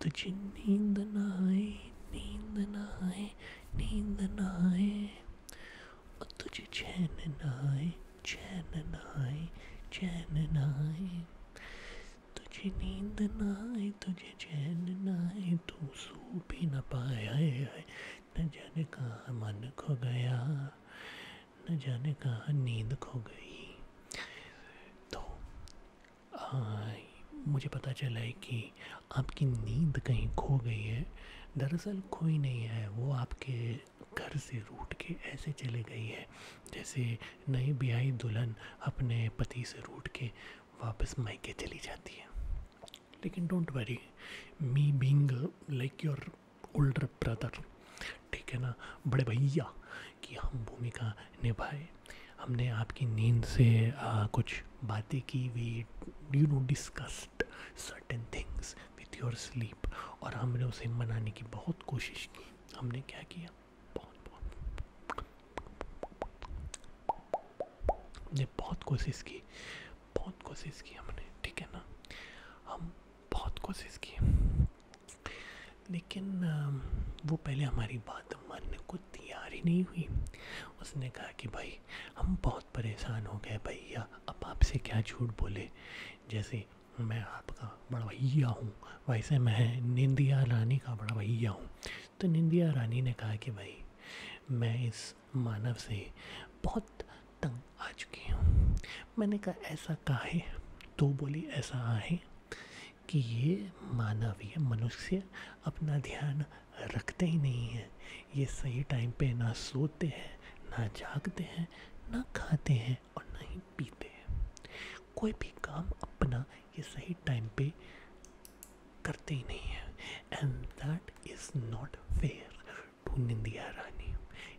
That you need the night, need the night, need the night. What did you chant and I? चैन न तुझे नींद न आए तुझे चैन तू सो भी न पाए आए न जाने कहाँ मन खो गया न जाने कहाँ नींद खो गई तो आई मुझे पता चला है कि आपकी नींद कहीं खो गई है दरअसल खोई नहीं है वो आपके घर से रूठ के ऐसे चले गई है जैसे नई ब्याई दुल्हन अपने पति से रूठ के वापस मायके चली जाती है लेकिन don't worry me being like your older brother ठीक है ना बड़े भैया कि हम भूमिका निभाए हमने आपकी नींद से आ, कुछ बातें की we you know discussed certain things with your sleep और हमने उसे मनाने की बहुत कोशिश की हमने क्या किया बहुत बहुत हमने बहुत कोशिश की बहुत कोशिश की हमने ठीक है ना हम बहुत कोशिश की लेकिन वो पहले हमारी बात मानने को तैयार ही नहीं हुई उसने कहा कि भाई हम बहुत परेशान हो गए भैया अब आपसे क्या झूठ बोले जैसे मैं आपका बड़ा भैया हूँ वैसे मैं निंदिया रानी का बड़ा भैया हूँ तो निंदिया रानी ने कहा कि भाई मैं इस मानव से बहुत तंग आ चुकी हूँ मैंने कहा ऐसा कहा है तो बोली ऐसा आए कि ये मानव ये मनुष्य अपना ध्यान रखते ही नहीं है ये सही टाइम पे ना सोते हैं ना जागते हैं ना खाते हैं हैं और ना ही पीते हैं कोई भी काम अपना ये सही टाइम पे करते ही नहीं है and that is not fair to निंदिया रानी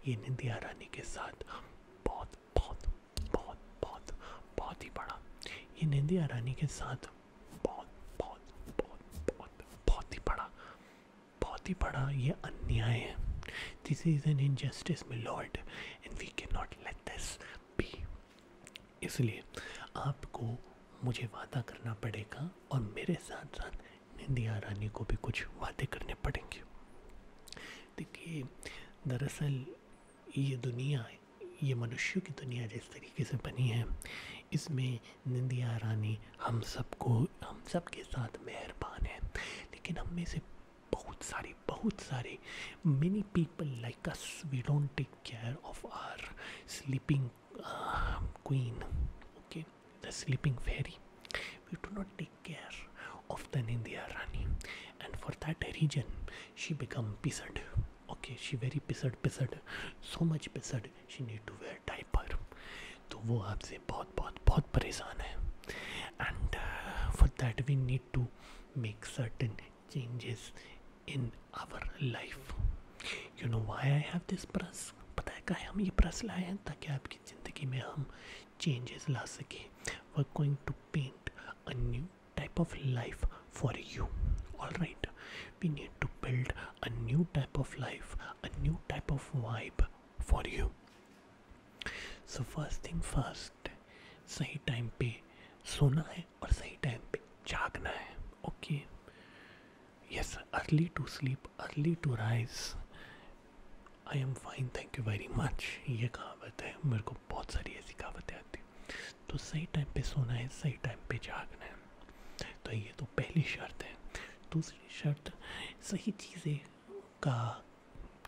ये निंदिया रानी के साथ बहुत बहुत बहुत बहुत बहुत ही बड़ा ये निंदिया रानी के साथ बहुत बहुत बहुत बहुत बहुत ही बड़ा बहुत ही बड़ा ये अन्याय है this is an injustice my lord and we can not let this be इसलिए आपको मुझे वादा करना पड़ेगा और मेरे साथ साथ निंदिया रानी को भी कुछ वादे करने पड़ेंगे देखिए दरअसल ये दुनिया ये मनुष्यों की दुनिया जिस तरीके से बनी है इसमें निंदिया रानी हम सबको हम सब के साथ मेहरबान है लेकिन हम में से बहुत सारे बहुत सारे many people like us we don't take care of our sleeping queen okay the sleeping fairy we do not take care of the India Rani, and for that reason, she become pissed. Okay, she very pissed, pissed, so much pissed. She need to wear टाइपर तो वो आपसे बहुत बहुत बहुत परेशान है and for that we need to make certain changes in our life you know why I have this press पता है क्या हम ये प्रेस लाए हैं ताकि आपकी ज़िंदगी में हम चेंजेस ला सकें we're going to paint a new type of life for you all right we need to build a new type of life a new type of vibe for you so first thing first सही time पे सोना है और सही time पे जागना है okay yes early to sleep early to rise I am fine thank you very much ये कहावत है मेरे को बहुत सारी ऐसी कहावतें आती तो सही टाइम पे सोना है सही टाइम पे जागना है तो ये तो पहली शर्त है दूसरी शर्त सही चीज़ें का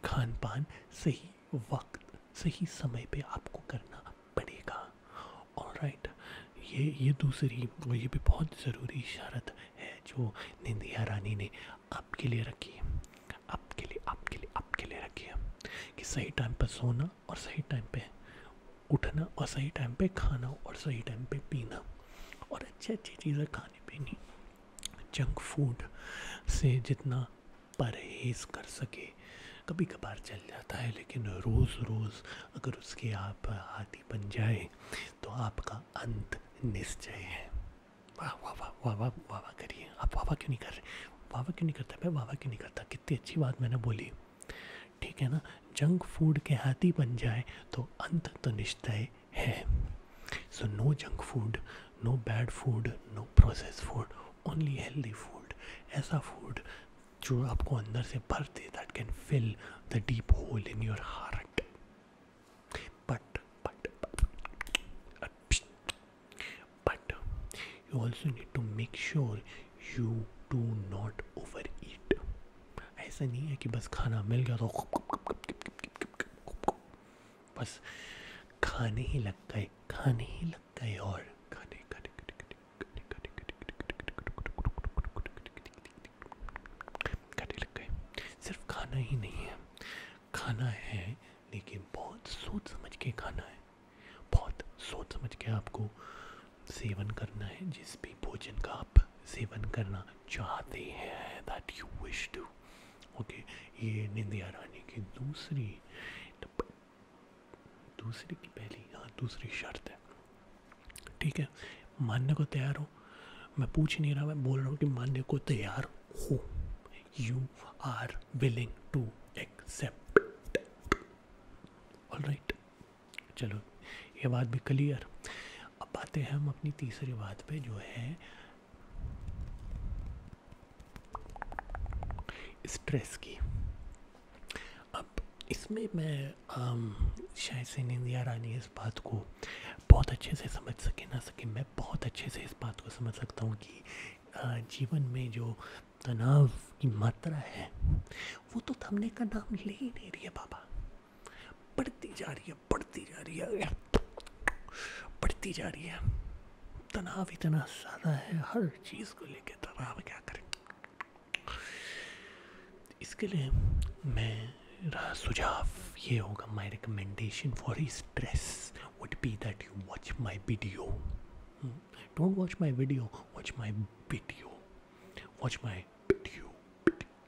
खान पान सही वक्त सही समय पे आपको करना पड़ेगा और राइट ये ये दूसरी और ये भी बहुत ज़रूरी शर्त है जो निंदिया रानी ने आपके लिए रखी है आपके लिए आपके लिए आपके लिए रखी है कि सही टाइम पर सोना और सही टाइम पे उठना और सही टाइम पे खाना और सही टाइम पे पीना और अच्छी अच्छी चीज़ें खा खाने पीने जंक फूड से जितना परहेज कर सके कभी कभार चल जाता है लेकिन रोज़ रोज़ अगर उसके आप आदि बन जाए तो आपका अंत निश्चय है वाह वाह वाह वाह वाह वाह वाह करिए आप वाह वाह क्यों नहीं कर रहे वाह वाह क्यों नहीं करता मैं वाह वाह क्यों नहीं करता कितनी अच्छी बात मैंने बोली ठीक है ना जंक फूड के हाथी बन जाए तो अंत तो निश्चय है so no junk food no bad food no processed food only healthy food ऐसा food जो आपको अंदर से भर दे that can fill the deep hole in your heart but but but but you also need to make sure you do not overeat ऐसा नहीं है कि बस खाना मिल गया तो बस खाने ही लग गए खाने ही लग गए और खाने खाने लग गए सिर्फ खाना ही नहीं है खाना है लेकिन बहुत सोच समझ के खाना है बहुत सोच समझ के आपको सेवन करना है जिस भी भोजन का आप सेवन करना चाहते हैं that you wish to okay ये निंदिया रानी की दूसरी दूसरी की पहली हाँ दूसरी शर्त है ठीक है मानने को तैयार हो मैं पूछ नहीं रहा मैं बोल रहा हूँ कि मानने को तैयार हो you are willing to accept all right चलो ये बात भी क्लियर अब आते हैं हम अपनी तीसरी बात पे जो है स्ट्रेस की अब इसमें मैं शायद से निंदिया रानी इस बात को बहुत अच्छे से समझ सके ना सके मैं बहुत अच्छे से इस बात को समझ सकता हूँ कि जीवन में जो तनाव की मात्रा है वो तो थमने का नाम ले ही नहीं रही है बाबा बढ़ती जा रही है बढ़ती जा रही है बढ़ती जा रही है तनाव इतना ज़्यादा है हर चीज़ को लेकर तनाव क्या करें इसके लिए मैं सुझाव ये होगा my recommendation for he stress would be that you watch my video don't watch my video watch my video watch my video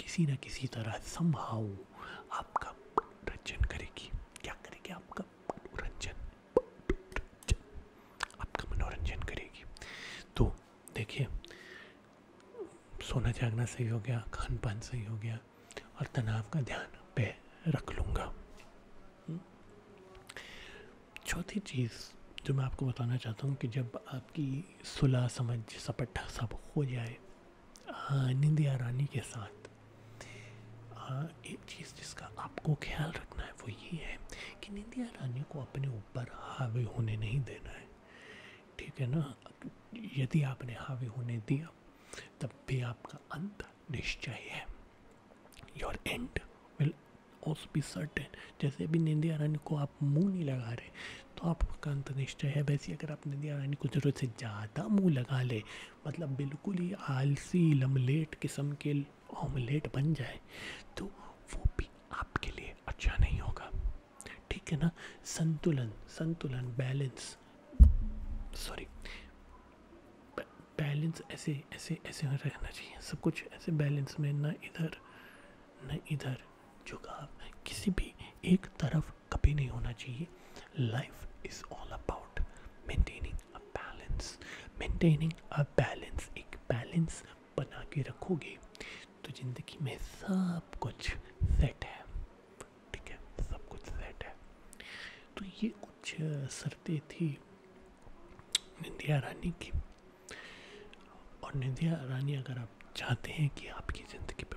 किसी ना किसी तरह समहाउ आपका मनोरंजन करेगी क्या करेगी आपका मनोरंजन आपका मनोरंजन करेगी तो देखिए सोना जागना सही हो गया खान पान सही हो गया और तनाव का ध्यान पे रख लूँगा हम्म। चौथी चीज़ जो मैं आपको बताना चाहता हूँ कि जब आपकी सुलह समझ सपट्टा सब हो जाए हाँ, निंदिया रानी के साथ आ, एक चीज़ जिसका आपको ख्याल रखना है वो ये है कि निंदिया रानी को अपने ऊपर हावी होने नहीं देना है ठीक है ना यदि आपने हावी होने दिया तब भी आपका अंत निश्चय है your end will also be certain जैसे भी निंदिया रानी को आप मुंह नहीं लगा रहे तो आपका अंत निश्चय है वैसे अगर आपने ध्यान को ज़रूरत से ज़्यादा मुंह लगा ले मतलब बिल्कुल ही आलसी लमलेट किस्म के ऑमलेट बन जाए तो वो भी आपके लिए अच्छा नहीं होगा ठीक है ना संतुलन संतुलन बैलेंस सॉरी बैलेंस ऐसे ऐसे ऐसे रहना चाहिए सब कुछ ऐसे बैलेंस में ना इधर ना इधर झुकाव किसी भी एक तरफ कभी नहीं होना चाहिए life is all about maintaining a balance maintaining a balance एक बैलेंस बना के रखोगे तो ज़िंदगी में सब कुछ सेट है ठीक है सब कुछ सेट है तो ये कुछ शर्तें थी निंदिया रानी की और निंदिया रानी अगर आप चाहते हैं कि आपकी ज़िंदगी पे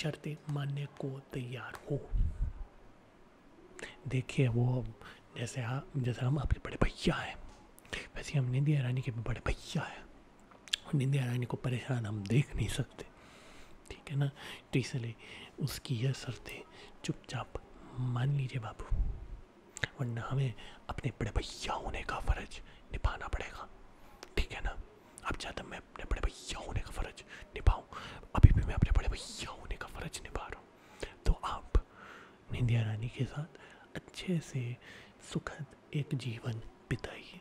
शर्तें मानने को तैयार हो देखिए वो जैसे हाँ जैसे हम आपके बड़े भैया हैं वैसे हम निंदी रानी के भी बड़े भैया हैं और निंदी ईरानी को परेशान हम देख नहीं सकते ठीक है ना तो इसलिए उसकी यह शर्तें चुपचाप मान लीजिए बाबू वरना हमें अपने बड़े भैया होने का फ़र्ज निभाना पड़ेगा ठीक है ना अब ज़्यादा मैं तो के साथ अच्छे से सुखद एक जीवन बिताइए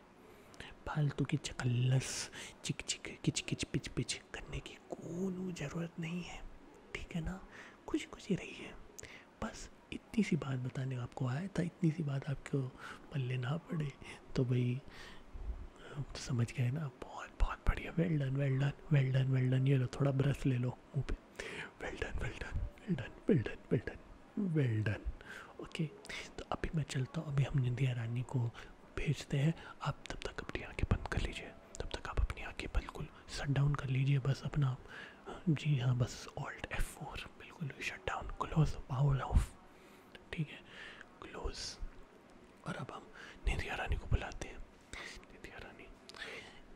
फालतू की चकल्लस चिक चिक किच किच पिच पिच करने की कोई ज़रूरत नहीं है ठीक है ना खुशी खुशी रहिए बस इतनी सी बात बताने आपको आया था इतनी सी बात आपको पल्ले ना पड़े तो भाई तो समझ गए ना बहुत बहुत बढ़िया well done well done well done well done ये लो थोड़ा ब्रश ले लो मुँह पे well done well done well done well done well done well done okay तो अभी मैं चलता हूँ अभी हम निंदिया रानी को भेजते हैं आप तब तक अपनी आँखें बंद कर लीजिए तब तक आप अपनी आँखें बिल्कुल शट डाउन कर लीजिए बस अपना जी हाँ बस ऑल्ट एफ फोर बिल्कुल shut down close power off ठीक है क्लोज और अब हम निधिया रानी को बुलाते हैं निधिया रानी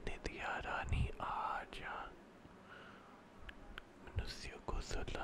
निधिया रानी आ जा को सुला